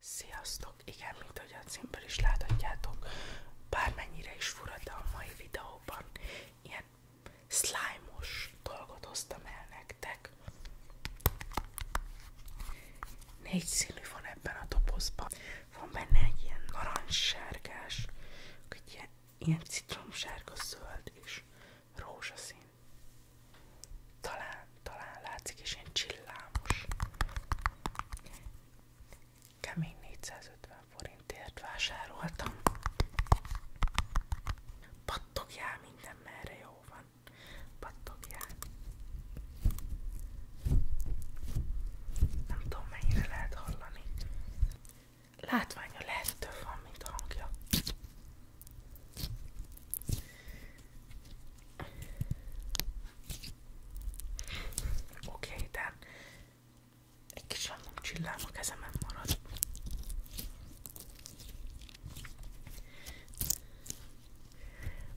Sziasztok! Igen, mint ahogy a címből is láthatjátok, bármennyire is fura, mai videóban ilyen slime dolgot hoztam el nektek. Négy színű van ebben a dobozban. Van benne egy ilyen narancssárgás, egy ilyen, ilyen citromsárga, zöld és rózsaszín. Talán talán látszik, és ilyen csillámos. Kemény 450 forintért vásároltam. Pattogjál minden merre jó van. Pattogjál. Nem tudom mennyire lehet hallani. Látványa lehet több van, mint hangja. Oké, okay, de egy kis random csillám a kezemen marad.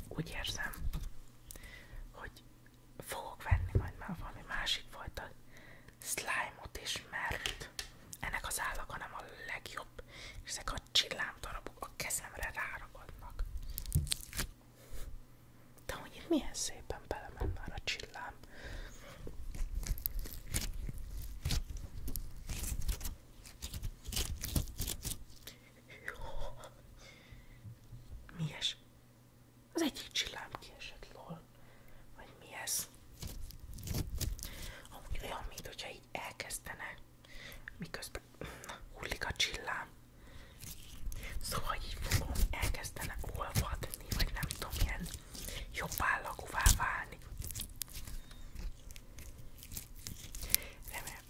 Úgy érzem, hogy fogok venni majd már valami másik fajta slime-ot is, mert ennek az állaga nem a legjobb, és ezek a csillámdarabok a kezemre ráragadnak. De hogy itt milyen szépen belement már a csillám. Mi ez? Az egyik csillám kiesett lol. Vagy mi ez? Amúgy olyan, mint hogyha így elkezdene miközben hullik a csillám. Szóval így fogom, elkezdene olvadni, vagy nem tudom, ilyen jobb állagúvá válni. Remélem,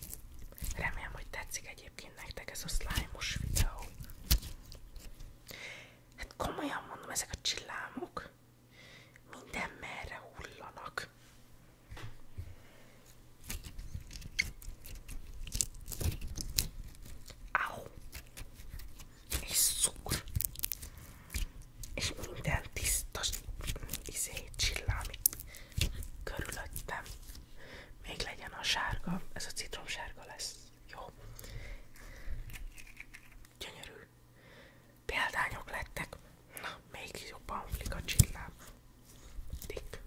remélem, hogy tetszik egyébként nektek ez a slime-os videó. Hát komolyan mondom, ezek a csillámok minden merre hullanak. Au! És szúr! És minden tiszta izé, csillámik körülöttem. Még legyen a sárga, ez a citromsárga lesz. Jó. Gyönyörű. Példányok lettek. Na, még jobban flik a csillám. Tick.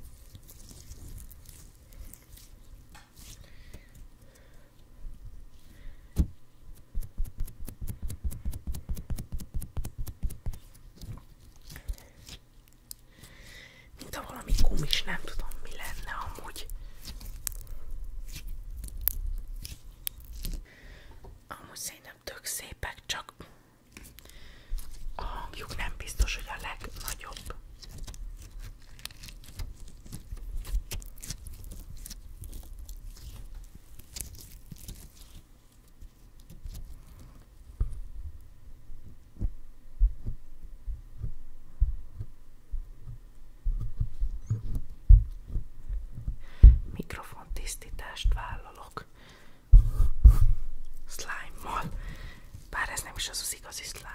Mint ha valami kumis, nem tudom mi lenne amúgy. Amúgy szerintem tök szépek, csak a hangjuk nem biztos, hogy a legnagyobb. Mikrofon tisztítást vállalok, slime-mal. Bár ez nem is az az igazi slime.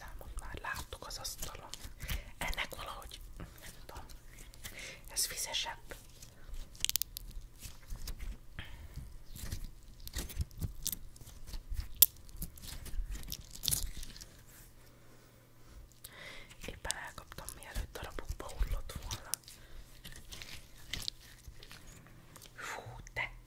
Lámot már láttuk az asztalon. Ennek valahogy, nem tudom, ez vizesebb. Éppen elkaptam, mielőtt darabokba hullott volna. Fú, de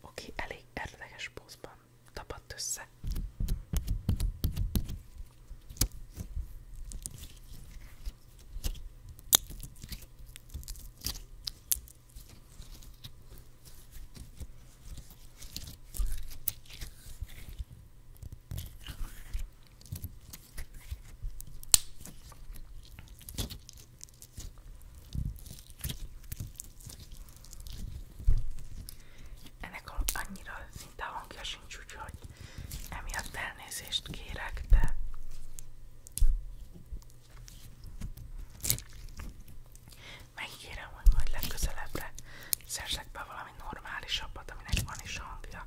Oké, okay, elég érdekes pózban tapadt össze. Ennek annyira szinte hangja sincs, úgyhogy emiatt elnézést kérek, de megígérem, hogy majd legközelebbre szerzek be valami normálisabbat, aminek van is hangja.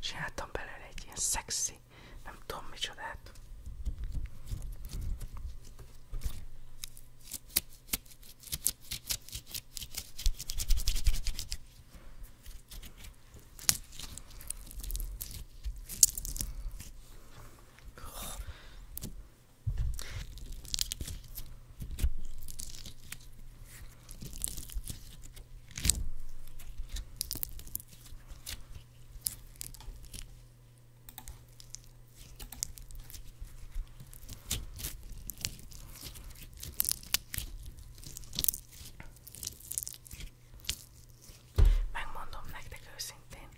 Csináltam belőle egy ilyen szexi, nem tudom micsodát. Megmondom nektek őszintén,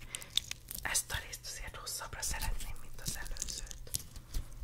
ezt a részt azért hosszabbra szeretném, mint az előzőt.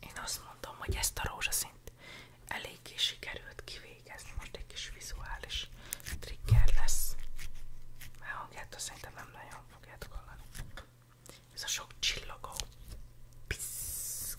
Én azt mondom, hogy ezt a rózsaszint eléggé sikerült kivégezni, most egy kis vizuális trigger lesz, mert hangjától szerintem nem nagyon fogjátok hallani. Ez a sok csillogó, piszk,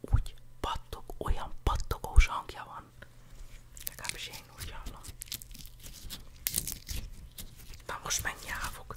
Úgy pattog, olyan pattogós hangja van. Legalábbis én úgy hallom. Na most menj, állok.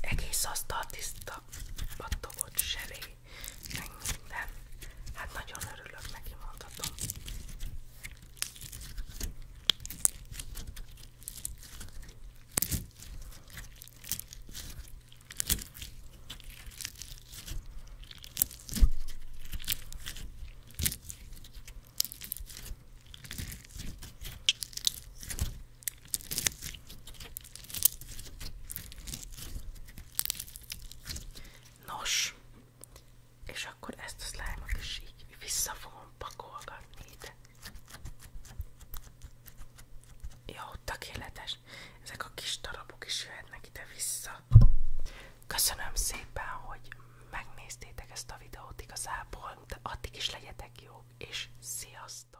Egész asztal tiszta, pattogott zselé, meg minden. Hát nagyon örülök neki, mondhatom. Nos, és akkor ezt a slime-ot vissza fogom pakolgatni ide. Jó, tökéletes. Ezek a kis darabok is jöhetnek ide-vissza. Köszönöm szépen, hogy megnéztétek ezt a videót igazából, de addig is legyetek jók, és sziasztok!